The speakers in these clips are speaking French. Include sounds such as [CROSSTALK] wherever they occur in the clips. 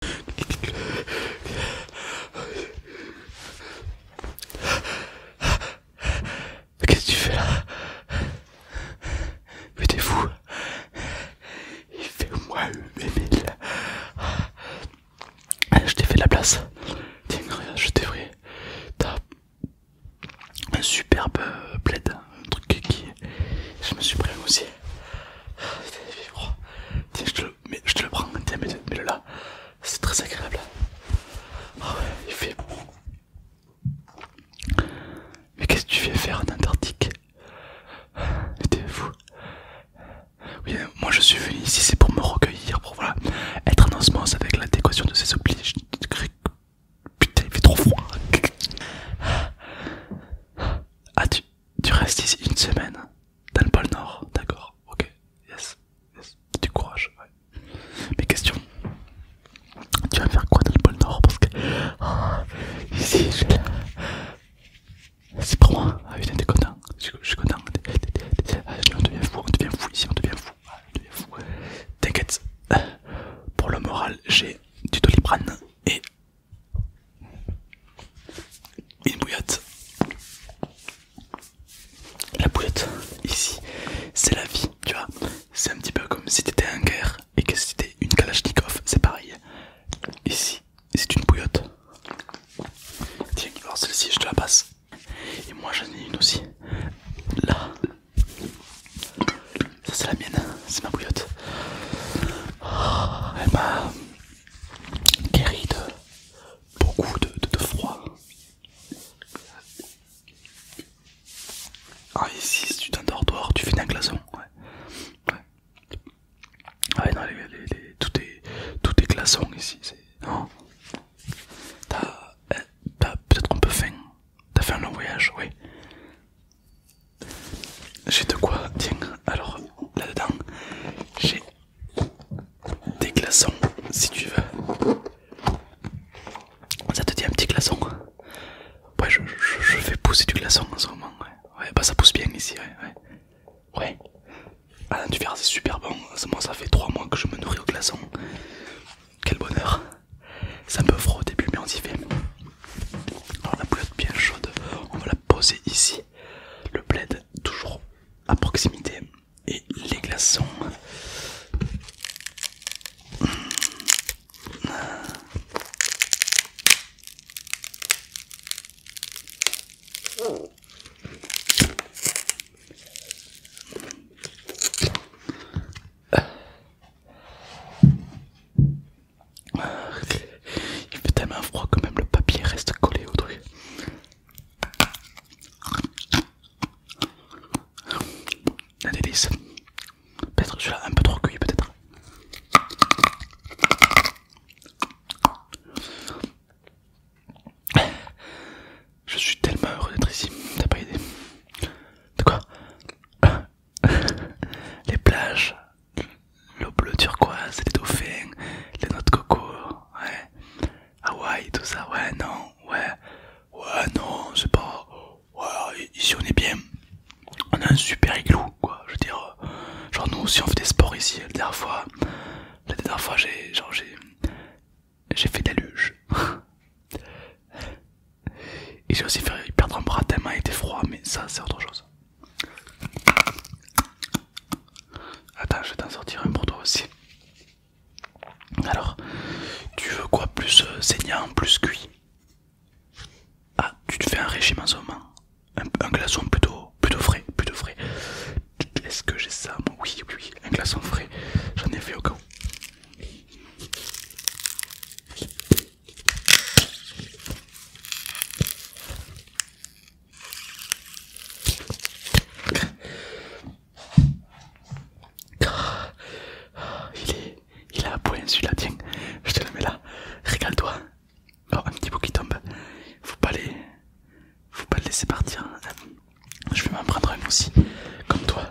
Qu'est-ce que tu fais là Mais t'es fou Il fait au moins ah, Je t'ai fait la place Tiens regarde je t'ai vrai T'as un superbe plaid Un truc qui... Je me suis pris aussi Tiens, je te le, je te le prends, tiens, mets-le là. C'est très agréable. Ah ouais, il fait. Mais qu'est-ce que tu fais faire en Antarctique t'es fou. Oui, euh, moi je suis venu ici, c'est pour me recueillir, pour voilà, être en osmose avec l'adéquation de ses obliges Putain, il fait trop froid. Ah, tu restes ici une semaine dans le pôle Nord, d'accord, ok, yes, yes, du courage, ouais. Mais question, tu vas faire quoi dans le pôle Nord Parce que. Oh, ici, je... c'est pour moi, ah oui, t'es content, je, suis content. Ah, on devient fou, on devient fou ici, ah, on devient fou, T'inquiète, pour le moral, j'ai du doliprane et une bouillotte. La bouillotte, ici, c'est la vie, tu vois. C'est un petit peu comme si t'étais un guerre et que c'était une Kalachnikov, c'est pareil. Ici, c'est une bouillotte. Tiens, alors celle-ci, je te la passe. Et moi, j'en ai une aussi. Là. Ça, c'est la mienne, c'est ma bouillotte. Oh, elle m'a guérit de beaucoup de, de, froid. Ah, ici si, tu t'endors dehors, tu finis un glaçon. Ouais. Ouais. non, les, les, tout, est, tout est glaçon ici. Non T'as euh, peut-être un peu faim T'as fait un long voyage, oui. J'ai de quoi, tiens, alors là-dedans, j'ai des glaçons si tu veux. Ça te dit un petit glaçon Ouais, je, vais pousser du glaçon en ce moment, ouais. bah ça pousse bien ici, ouais. Ouais. ouais. Ah tu c'est super bon. Moi, ça fait 3 mois que je me nourris au glaçon. Quel bonheur. C'est un peu froid au début, mais on s'y fait. Alors la bouillotte bien chaude, on va la poser ici le plaid toujours à proximité et les glaçons. Il fait tellement froid que même le papier reste collé au truc. La délice. Peut-être celui-là un peu trop cuit peut-être. Je suis tellement heureux d'être ici, t'as pas idée. De quoi Les plages, le bleu turquoise, les dauphins, les noix de coco, ouais. Hawaï, tout ça, ouais, non, ouais, ouais, non, c'est pas. Ouais, ici on est bien. On a un super igloo, quoi. Je veux dire, genre nous aussi on fait des sports ici. La dernière fois, la dernière fois, j'ai, genre j'ai, j'ai fait de la [LAUGHS] Et j'ai aussi fait perdre un bras tellement il était froid, mais ça c'est autre chose. Attends, je vais t'en sortir un pour toi aussi. Alors, tu veux quoi Plus euh, saignant, plus cuit Ah, tu te fais un régime en ce moment un, glaçon plutôt, plutôt frais, plutôt frais. Est-ce que j'ai ça Oui, oui, oui, un glaçon frais. J'en ai fait au cas où. Ah, il est... Il a un point celui-là, tiens, je te le mets là, régale toi oh, un petit bout qui tombe, faut pas les... Faut pas le laisser partir. Je vais m'en prendre un aussi, comme toi.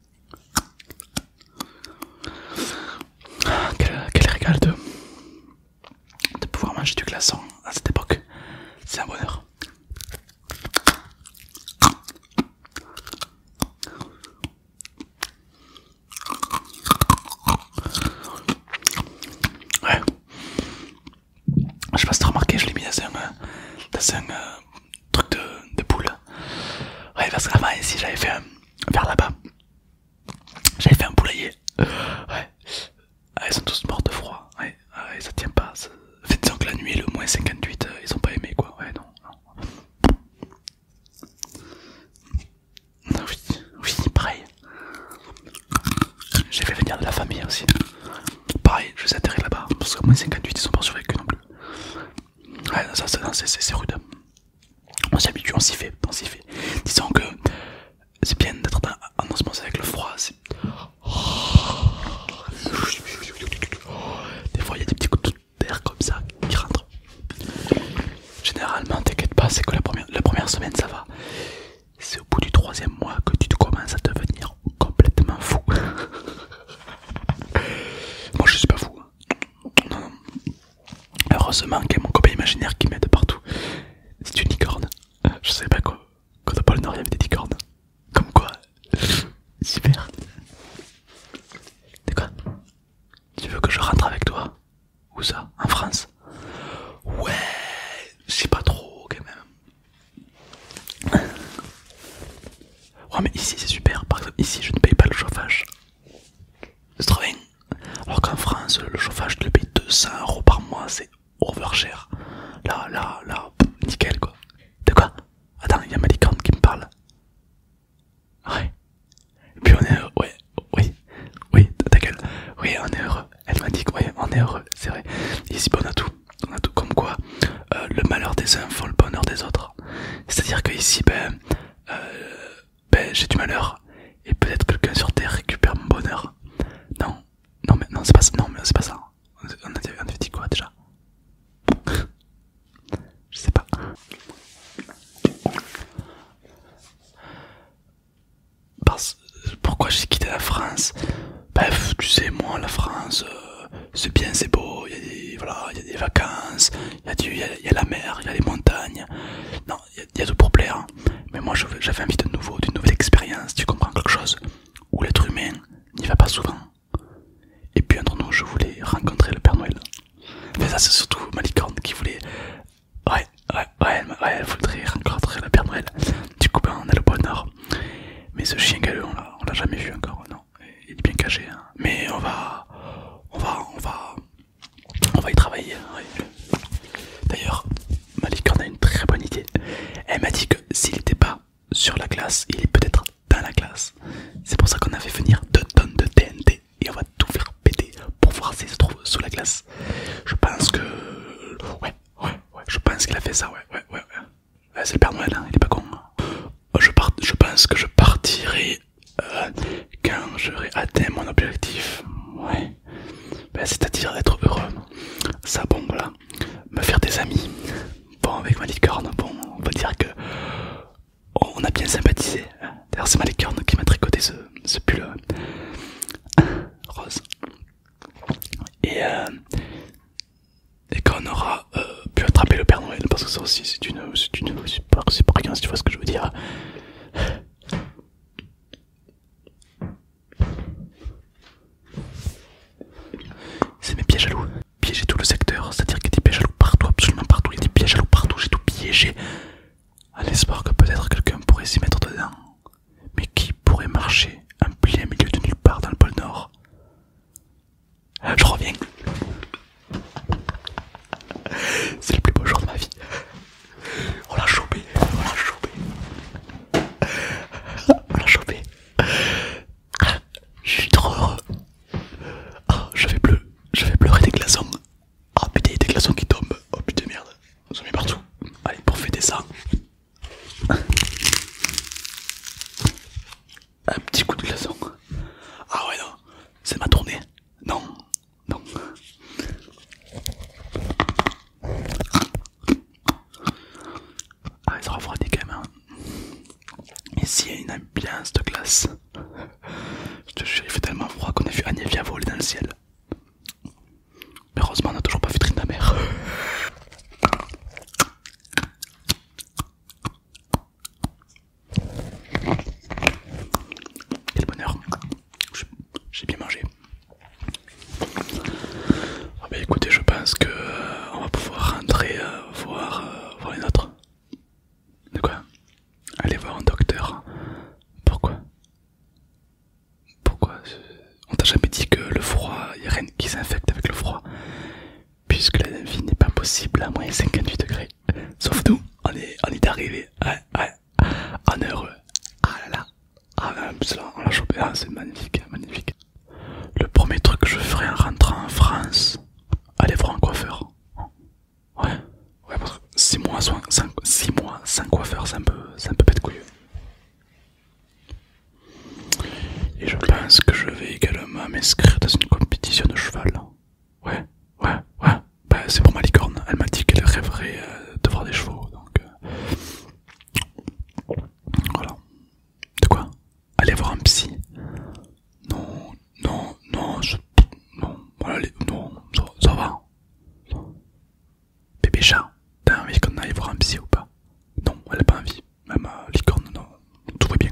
Quel, régal de, pouvoir manger du glaçon à cette époque, c'est un bonheur. Ouais. Je sais pas si as remarqué, je l'ai mis dans un, euh, dans un euh, truc de, poule boule. Ouais, parce qu'avant, ah, bah, ici, j'avais fait un. Euh, vers là-bas. J'avais fait un poulailler. Ouais. Ah, ils sont tous morts de froid. Ouais, ah, ça tient pas. faites donc que la nuit le moins 58, euh, ils ont pas aimé quoi. Ouais, non. Oui, oui, pareil. J'ai fait venir de la famille aussi. Pareil, je les atterrir là-bas parce que moins 58, ils sont pas survécu non plus ça, c'est rude. On s'y habitue, on s'y fait, on s'y fait. Disons que c'est bien d'être en osmose avec le froid. Des fois, il y a des petits coups d'air comme ça qui rentrent. Généralement, t'inquiète pas, c'est que la première, la première semaine ça va. C'est au bout du troisième mois que tu te commences à devenir complètement fou. [LAUGHS] Moi je suis pas fou. Hein. Heureusement qu'il y a mon copain imaginaire qui m'aide partout. C'est une licorne. Je savais pas quoi. Quand on des licornes. Comme quoi. Super. Tu veux que je rentre avec toi Où ça En France Ouais, je sais pas trop quand même. Ouais, mais ici c'est super. Par exemple, ici je ne paye pas le chauffage. C'est trop bien. Alors qu'en France, le chauffage, de le payes 200 euros par mois, c'est over cher, Là, là, là, nickel quoi. De quoi Attends, il y a ma qui me parle. Ouais. Et puis on est heureux. Ouais, oui, oui, ta gueule. Oui, on est heureux. Elle m'a dit que, on est heureux, c'est vrai. Ici, bon, on a tout on a tout comme quoi euh, le malheur des uns font le bonheur des autres. C'est-à-dire que ici, ben, euh, ben j'ai du malheur et peut-être quelqu'un sur Terre récupère mon bonheur. Non, non mais non c'est pas mais c'est pas ça. On avait, on dit quoi déjà Je sais pas. pourquoi j'ai quitté la France Bref, tu sais, moi, la France, euh, c'est bien, c'est beau, il y, a des, voilà, il y des vacances, il y, a du, il, la mer, il y a les montagnes, non, il y a, tout pour plaire, hein. mais moi j'avais envie de nouveau, d'une nouvelle expérience, tu comprends quelque chose où l'être humain n'y va pas souvent. Et puis entre nous, je voulais rencontrer le Père Noël. Mais ça, c'est surtout Malicorne qui voulait. Ouais, ouais, ouais, elle voudrait rencontrer le Père Noël. Du coup, ben, on a le bonheur. Mais ce chien galeux, on l'a jamais vu encore, non il est bien caché. Hein. Mais on va, on va, on va, on va y travailler. D'ailleurs, Malik en a une très bonne idée. Elle m'a dit que s'il n'était pas sur la glace, il est peut-être dans la glace. C'est pour ça qu'on a fait venir deux tonnes de TNT et on va tout faire péter pour voir s'il se trouve sous la glace. Je pense que, ouais, ouais, ouais, je pense qu'il a fait ça, ouais, ouais. ouais. Ah, c'est le Père Noël, hein, il est pas con. Hein. Je, pense que je partirai euh, quand j'aurai atteint mon objectif. Ben, c'est-à-dire être heureux. Ça, bon, voilà. Me faire des amis. Bon, avec ma licorne, bon, on va dire que on a bien sympathisé. Hein. D'ailleurs, c'est ma licorne qui m'a tricoté ce, pull euh, rose. Et euh, et qu'on aura euh, pu attraper le Père Noël, parce que ça aussi c'est une, c'est c'est pas rien si tu vois ce que je veux dire. C'est mes pièges à loups. piéger tout le secteur, c'est-à-dire qu'il y a des pièges à loups partout, absolument partout, il y a des pièges à loups partout, j'ai tout piégé, à l'espoir que peut-être quelqu'un pourrait s'y mettre dedans. Mais qui pourrait marcher un plein milieu de nulle part dans le pôle Nord je reviens. C'est le plus beau jour de ma vie. On l'a chopé, on l'a chopé. On l'a chopé. Je suis trop heureux. Oh, je vais pleurer, des glaçons. Oh putain, il y a des glaçons qui tombent. Oh putain, merde. ils sont mis partout. Allez, pour fêter ça. Un petit coup de glaçon. Ah ouais, non, c'est ma tournée. Non, non. Ah, il se refroidit quand même. Ici, hein. il y a une ambiance de glace. Je te jure, il fait tellement froid qu'on a vu Anévia voler dans le ciel. Mais heureusement, on n'a toujours pas vu mère quel bonheur, j'ai bien mangé. Ah bah écoutez, je pense que euh, on va pouvoir rentrer euh, voir, les euh, autres. De quoi Aller voir un docteur. Pourquoi Pourquoi On t'a jamais dit que le froid, il n'y a rien qui s'infecte avec le froid puisque la vie n'est pas possible à moins 58 degrés. Sauf nous, on est, on est arrivé, ouais, ouais, est heureux. Ah là là, ah là, ben, on l'a chopé, ah, c'est magnifique, magnifique. Le premier truc que je ferai en rentrant en France, aller voir un coiffeur. Ouais, ouais, parce que 6 mois sans, six mois coiffeur, c'est un peu, un peu bête couilleux. Et je pense que je vais également m'inscrire dans une compétition de cheval. Ouais, ouais, ouais. Bah, c'est pour ma licorne. Elle m'a dit qu'elle rêverait euh, de voir des chevaux. Donc, euh, voilà. De quoi Aller voir un psy Non, non, non, non, non, ça, va. Bébé chat, t'as envie qu'on aille voir un psy ou pas Non, elle a pas envie même à euh, licorne, non, tout va bien.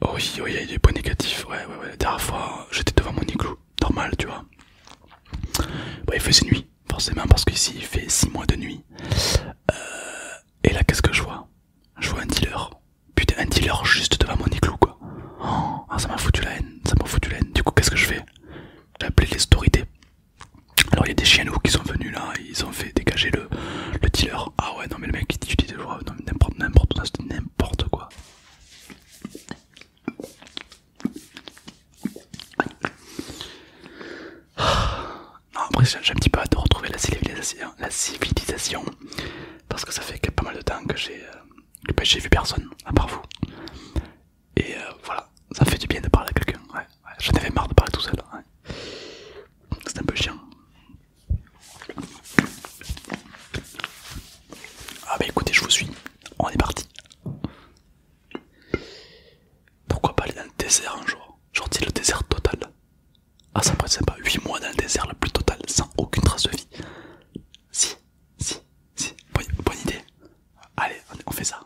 Oh oui, il y a des points négatifs, ouais, ouais, ouais. La dernière fois, j'étais devant mon igloo, normal, tu vois. il faisait nuit, forcément, parce qu'ici il fait 6 mois de nuit. Euh, et là, qu'est-ce que je vois Je vois un dealer. Putain, un dealer juste devant mon igloo, quoi. Oh, ah, ça m'a foutu la haine, ça m'a foutu la haine. Du coup, qu'est-ce que je fais J'ai appelé les autorités. Alors, il y a des chiens qui sont venus là, ils ont fait dégager le, le dealer. Ah ouais, non, mais le mec il dit, je n'importe, quoi. Non, après, j'ai un petit peu hâte de retrouver la civilisation, la civilisation parce que ça fait pas mal de temps que j'ai euh, bah, j'ai vu personne, à part vous. Et euh, voilà, ça fait du bien de parler à quelqu'un. Ouais, J'en avais marre de parler tout seul. Hein. C'est un peu chiant. Ah bah écoutez, je vous suis. On est parti. Pourquoi pas aller dans le désert un jour Genre le désert total. Ah ça pourrait être sympa, 8 mois dans le désert le plus total, sans aucune trace de vie. Si, si, si. Bonne, idée. Allez, on fait ça.